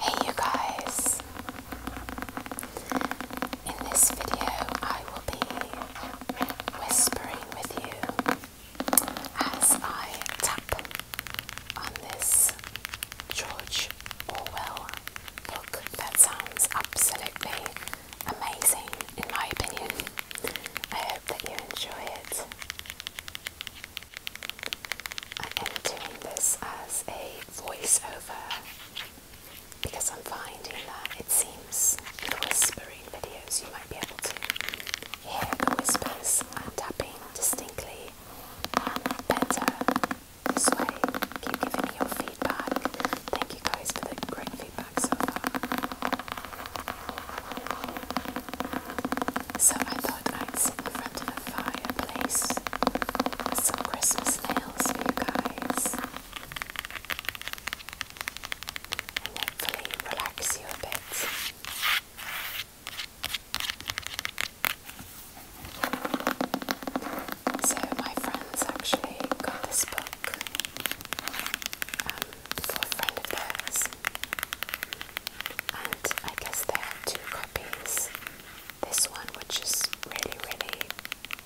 Hey you guys! In this video I will be whispering with you as I tap on this George Orwell book that sounds absolutely amazing in my opinion. I hope that you enjoy it. I am doing this as a voiceover because I'm finding that it seems the whispering videos you might be able to hear the whispers and tapping distinctly and um, better. This way, keep giving me your feedback. Thank you guys for the great feedback so far. So I thought I'd sit in front of a fireplace with some Christmas nails for you guys and hopefully relax you a bit. So my friends actually got this book. Um, for friend of theirs. And I guess there are two copies. This one, which is really, really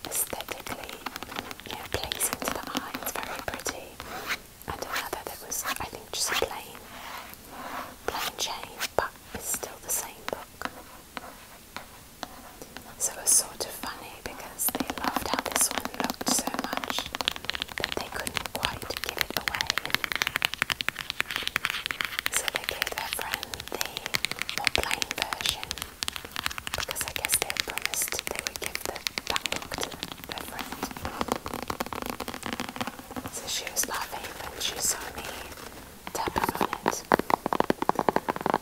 aesthetically, you know, plays into the eye, it's very pretty. And another that was, I think, just plain, plain change, but it's still the same book. So it's sort of funny because they loved how this one looked so much but they couldn't quite give it away. So they gave their friend the more plain version because I guess they promised they would give the, that book to their friend. So she was laughing when she saw me tapping on it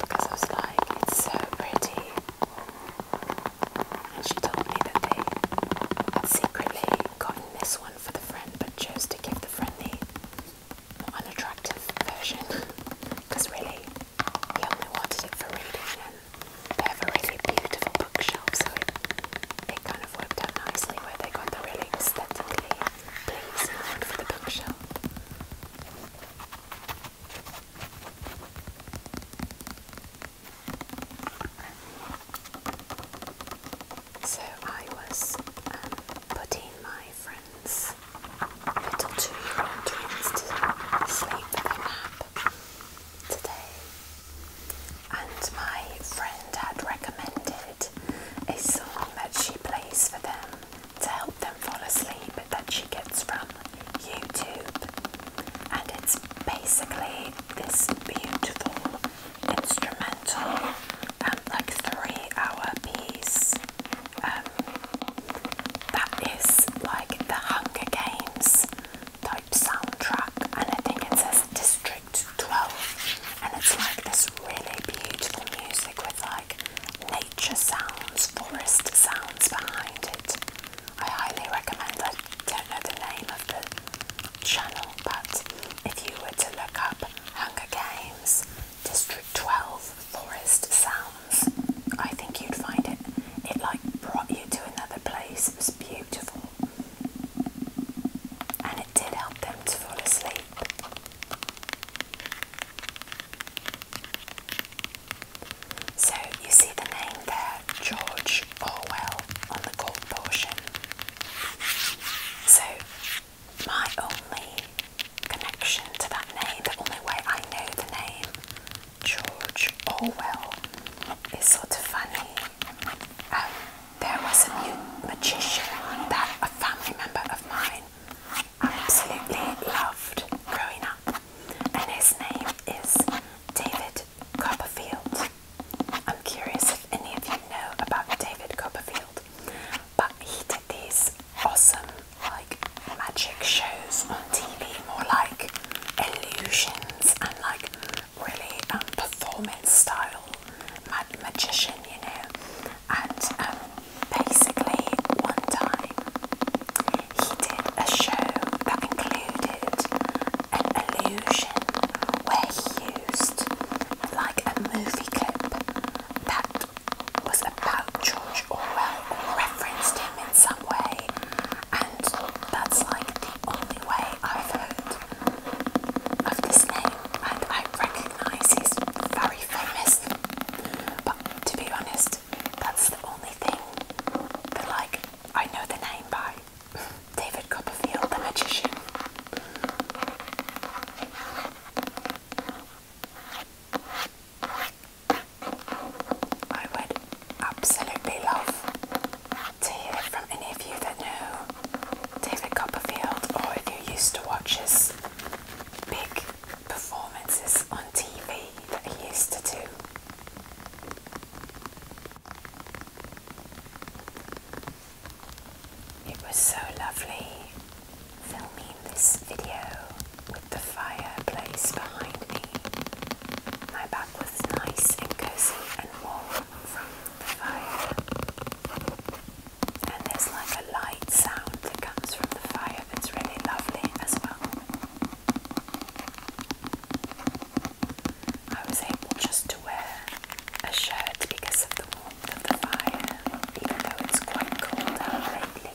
because I was like, it's so pretty and she told me that they had secretly gotten this one for the friend but chose to give the friend the more unattractive version because really he only wanted it for reading and they have a really beautiful bookshelf so it, kind of worked out nicely where they got the really aesthetically pleasing one for the bookshelf. So I was um, putting my friend's little two-year-old twins to sleep with a nap today, and my friend had recommended a song that she plays for them to help them fall asleep that she gets from YouTube, and it's basically this beautiful instrumental, and um, like three-hour piece. Um, that is like the Hunger Games type soundtrack, and I think it says District 12, and it's like this really beautiful music with like nature sounds, forest sounds behind it. I highly recommend. I don't know the name of the channel, but if you were to look up Hunger Games District 12 Forest Sounds, I think you'd find it. It like brought you to another place. It was beautiful. And it did help them to fall asleep. So you see the name there George Orwell on the cult portion. So, my only connection to that name, the only way I know the name George Orwell, is sort of funny. Um, there was a new magician that a family member of mine absolutely loved growing up, and his name is David Copperfield. I'm curious if any of you know about David Copperfield, but he did these awesome, like, magic shows on TV, more like illusions and like really um, performance style magician, you know. And um, basically, one time he did a show that included an illusion where he used like a movie clip that was about George Orwell referenced him in some way, and that's like the only way I've heard of this name, and I recognise he's very famous, but to be honest, that's the only thing that like I know the name by. David Copperfield, the magician. I would absolutely love to hear from any of you that know David Copperfield or if you used to watch his big performances on TV that he used to do. It was so lovely filming this video with the fireplace behind me. My back was nice and cozy and warm from the fire. And there's like a light sound that comes from the fire that's really lovely as well. I was able just to wear a shirt because of the warmth of the fire, even though it's quite cold out lately.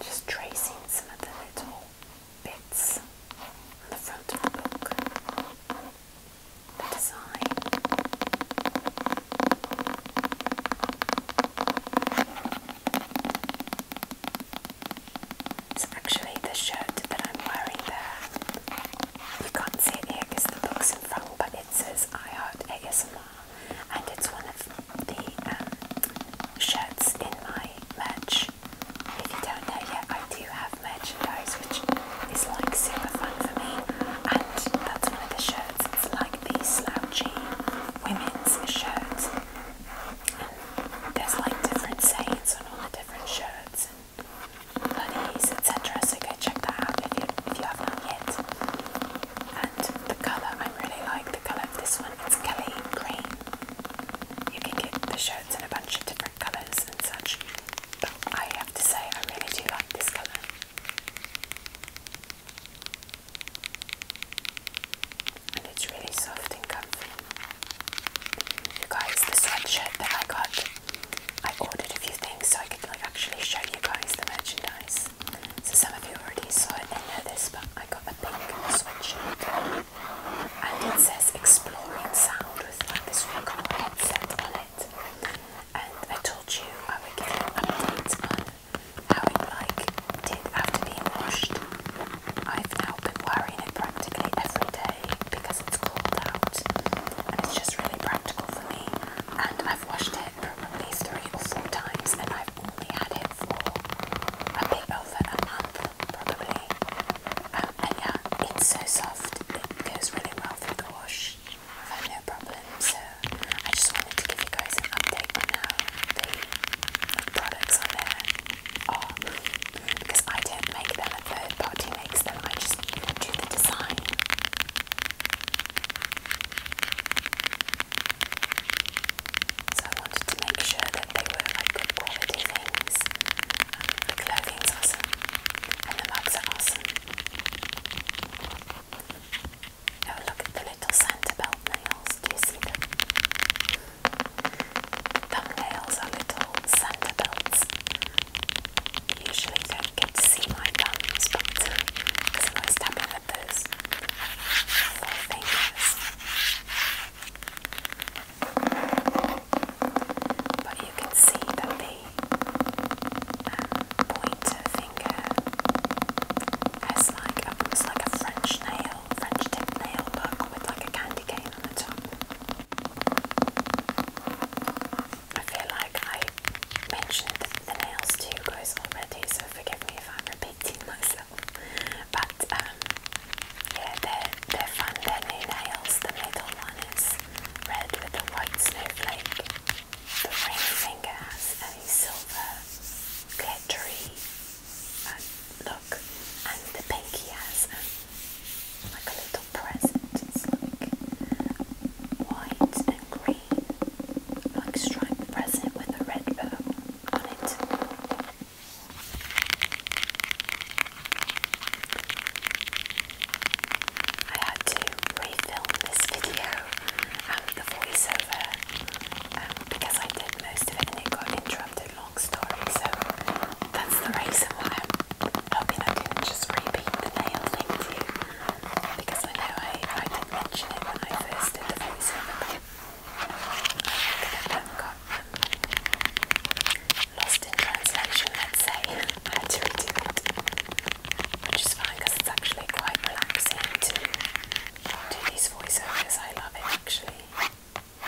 Just tracing some of the little bits on the front of the book, the design. It's actually the shirt that I'm wearing there, you can't see it here because the book's in front, but it says I Heart ASMR and it's one of the um, shirts in my merch. If you don't know yet, I do have merchandise which is like super fun for me and that's one of the shirts. It's like the slouchy women's shirt and there's like different sayings on all the different shirts and hoodies, etc. So go check that out if you, if you have not yet. And the colour, I really like the colour of this one. It's Kelly Green. You can get the shirts in a bunch of different colours and such. But I have to say, I really do like this colour and it's really soft and comfy. You guys, the sweatshirt that I got, I ordered a few things so I could like actually show you guys the merchandise. So some of you already saw it and know this, but I got a pink sweatshirt, and it says "Exploring Sound" with like this really cool headset on it. And I told you I would get you updates on how it like did after being washed. I've now been wearing it practically every day because it's cold out and it's just really practical for me. And I've washed it probably three or four times and I've only had it for a bit over a month probably. Um, and yeah, it's so soft, it goes really well through the wash. I've had no problems. so I just wanted to give you guys an update on how the products on there because I don't make them, third party makes them, I just do the design. So I wanted to make sure that they were like good quality things. Um, the clothing clothing's awesome and the mugs are awesome. Oh look the little Santa belt nails, do you see them? Thumbnails are little sandalwood. Usually don't get to see my thumbs, but because I'm always tapping with those four fingers. But you can see that the um, pointer finger has like a, it's like a French nail, French tip nail look with like a candy cane on the top. I feel like I mentioned the nails to you guys already, so forgive me if I'm repeating myself. But um, yeah, they're, they're fun, they're new nails. The middle one is red with a white snowflake. The ring finger has a silver glittery and look, and the pinky has um, like a little present. It's like white and green, like striped present with a red bow on it. I had to refilm this video and the voiceover um, because I did most of it and it got interrupted long story, so that's the reason why I'm hoping I didn't just repeat the nail thing to you. Because I know I, I did mention it when I first did the voiceover, but I think I got um, lost in translation, let's say. I had to redo it. Which is fine because it's actually quite relaxing to do these voiceovers. I love it actually. I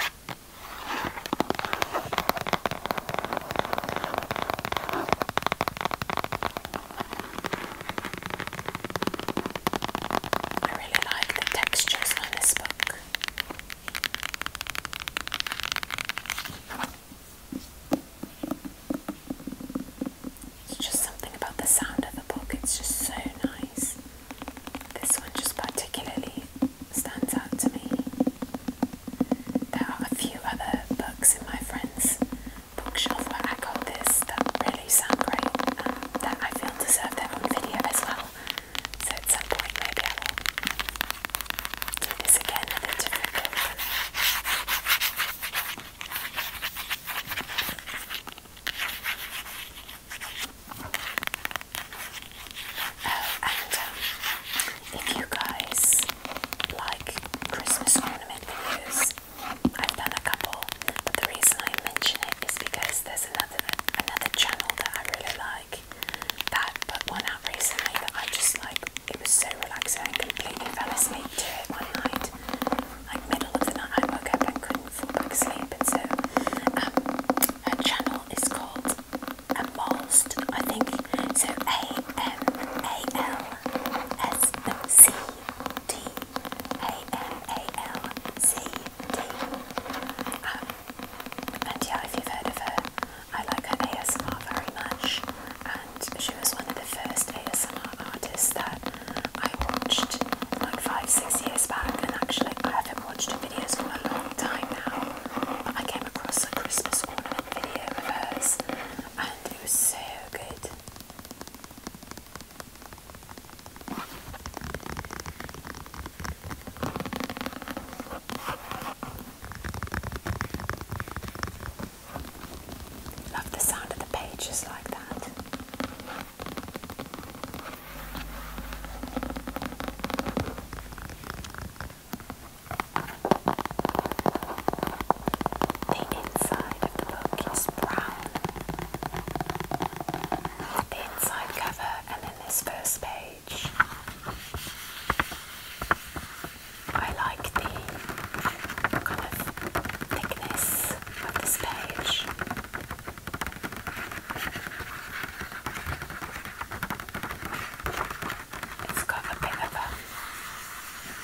really like the textures on this book. It's just something about the sound of the book, it's just so nice. This one, just particularly, stands out to me. There are a few other books in my friend's bookshelf, but I got this that really sound great um, that I feel deserve their own video as well. So at some point, maybe I will do this again with a different book. Oh, and um, if you guys like Christmas ornament videos, I've done a couple, but the reason I mention it is because there's another another channel that I really like that put one out recently that I just like. It was so relaxing, I completely fell asleep to it one night. Like middle of the night, I woke up and couldn't fall back asleep, and so um, her channel is called Amolst, I think. So A M A L S C D A M A L C D. Um, and yeah, if you've heard of her, I like her ASMR very much. And she was one of the first ASMR artists that I watched like five, six years back. And actually, I have have watched her videos for a long time now, but I came across a Christmas ornament video of hers and it was so good. Love the sound of the pages like that. The inside of the book is brown. The inside cover and then this first page. I like the kind of thickness of this page. It's got a bit of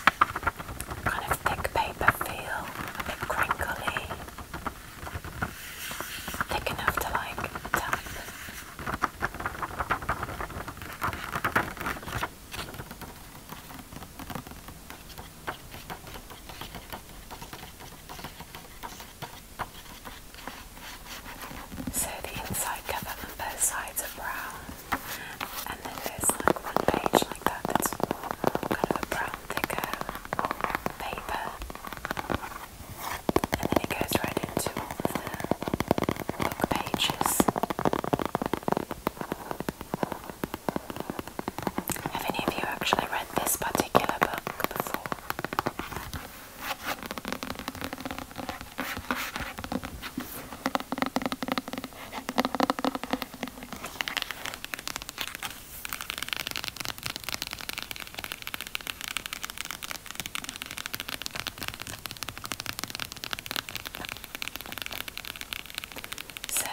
a kind of thick paper feel, a bit crinkly, thick enough to like so the inside cover and both sides are brown, and then there's like one page like that that's kind of a brown thicker paper, and then it goes right into all of the book pages. Have any of you actually read this particular book before? So,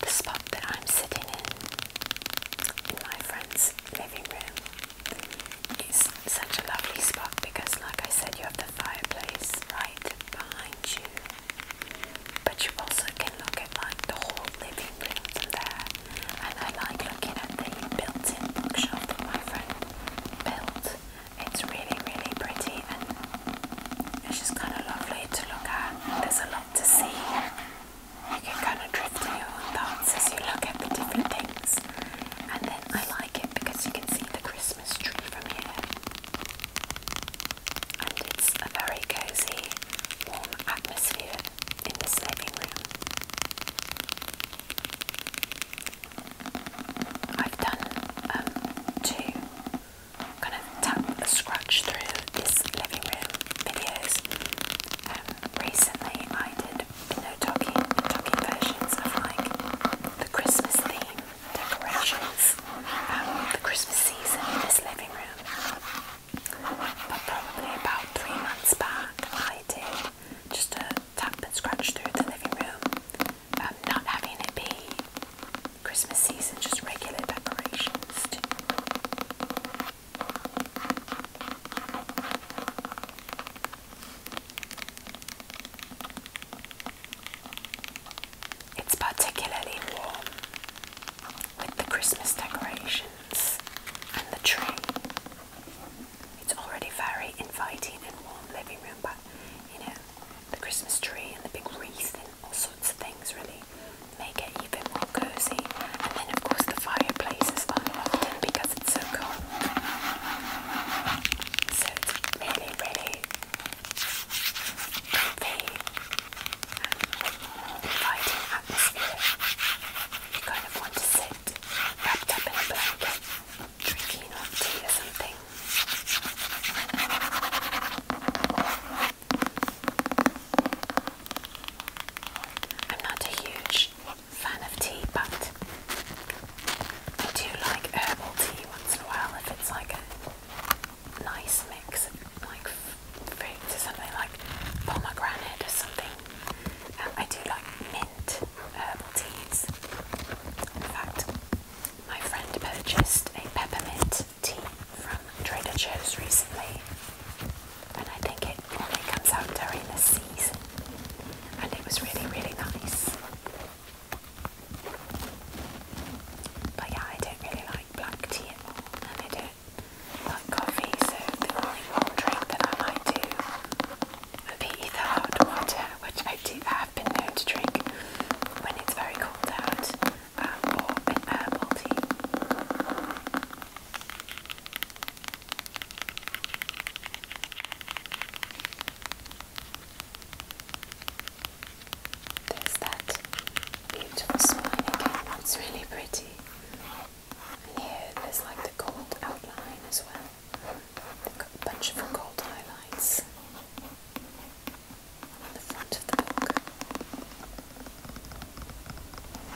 the spot that I'm sitting in, in my friend's living room, it's such a lovely spot because, like I said, you have the fireplace right behind you, but you also can look at like the whole living room from there. And I like looking at the built-in bookshop that my friend built. It's really, really pretty, and it's just kind of lovely to look at. There's a lot to see. I can kind of drift to thoughts as you look at the different things. And then I like it because you can see the Christmas tree from here. And it's a very cozy, warm atmosphere in this living room. I've done um, two kind of scratch through this living room videos. Um, recently I did you talking, talking versions of like the Christmas theme decorations, um, the Christmas season in this living room. But probably about three months back, I did just a tap and scratch through the living room, um, not having it be Christmas season, just regular decorations. It's particularly warm with the Christmas decorations and the tree. It's already very inviting and warm living room, but you know, the Christmas tree and the big wreath and all sorts of things really make it even more cozy. And then of course the fireplace is unlocked because it's so cold. So it's really, really comfy and inviting atmosphere. You kind of want to sit wrapped up in a blanket, drinking hot tea or something. I'm not a huge fan of tea, but I do like herbal tea once in a while if it's like a nice mix of like fruits or something like pomegranate or something. Um, I do like mint herbal teas. In fact, my friend purchased a peppermint tea from Trader Joe's recently and I think it only comes out during the season. And it was really, really nice. But yeah, I don't really like black tea at all, and I don't like coffee, so the only drink that I might do would be either hot water, which I do have been known to drink when it's very cold out, um, or an herbal tea. There's that beautiful spine again, that's really pretty. And here there's like the gold outline as well. They've got a bunch of gold highlights on the front of the book.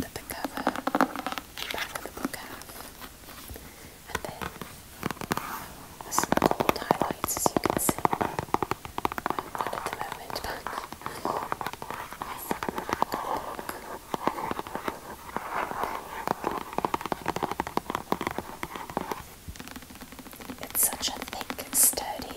that the cover, back of the book and then there's some highlights as you can see. Not at the moment, but it's such a thick, sturdy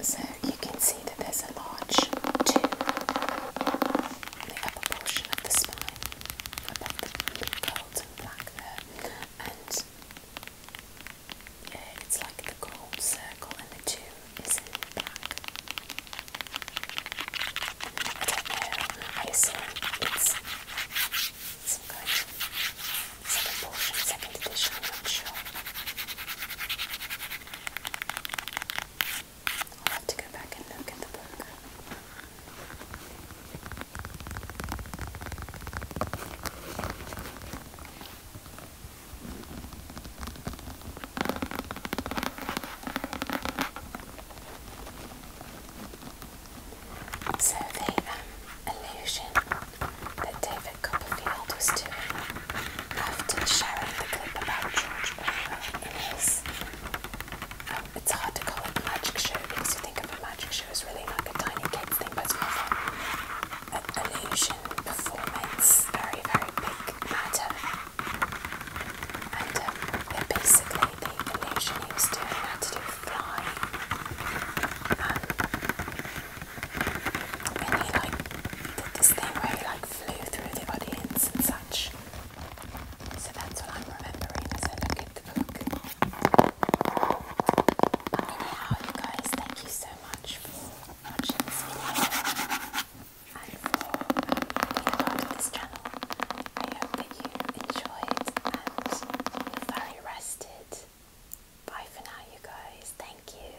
So you can see that there's a large tube on the upper portion of the spine, above the gold black there, and yeah, it's like the gold circle and the two is in black. I do it's some second edition, not sure. I'll have to go back and look at the book. So the um, that David Copperfield was doing after sharing the clip about George Orwell um, it's hard to call it magic show because you think of a magic show as really like a tiny kids thing, but it's more of an illusion performance, very, very big matter. And um, basically, the illusion doing had to do with um, and he like did this thing where he like like flew through the audience and such. So that's what I'm remembering as I look at the book. Anyhow, you guys, thank you so much for watching this video and for um, being part of this channel. I hope that you enjoyed and you're very rested. Bye for now, you guys. Thank you.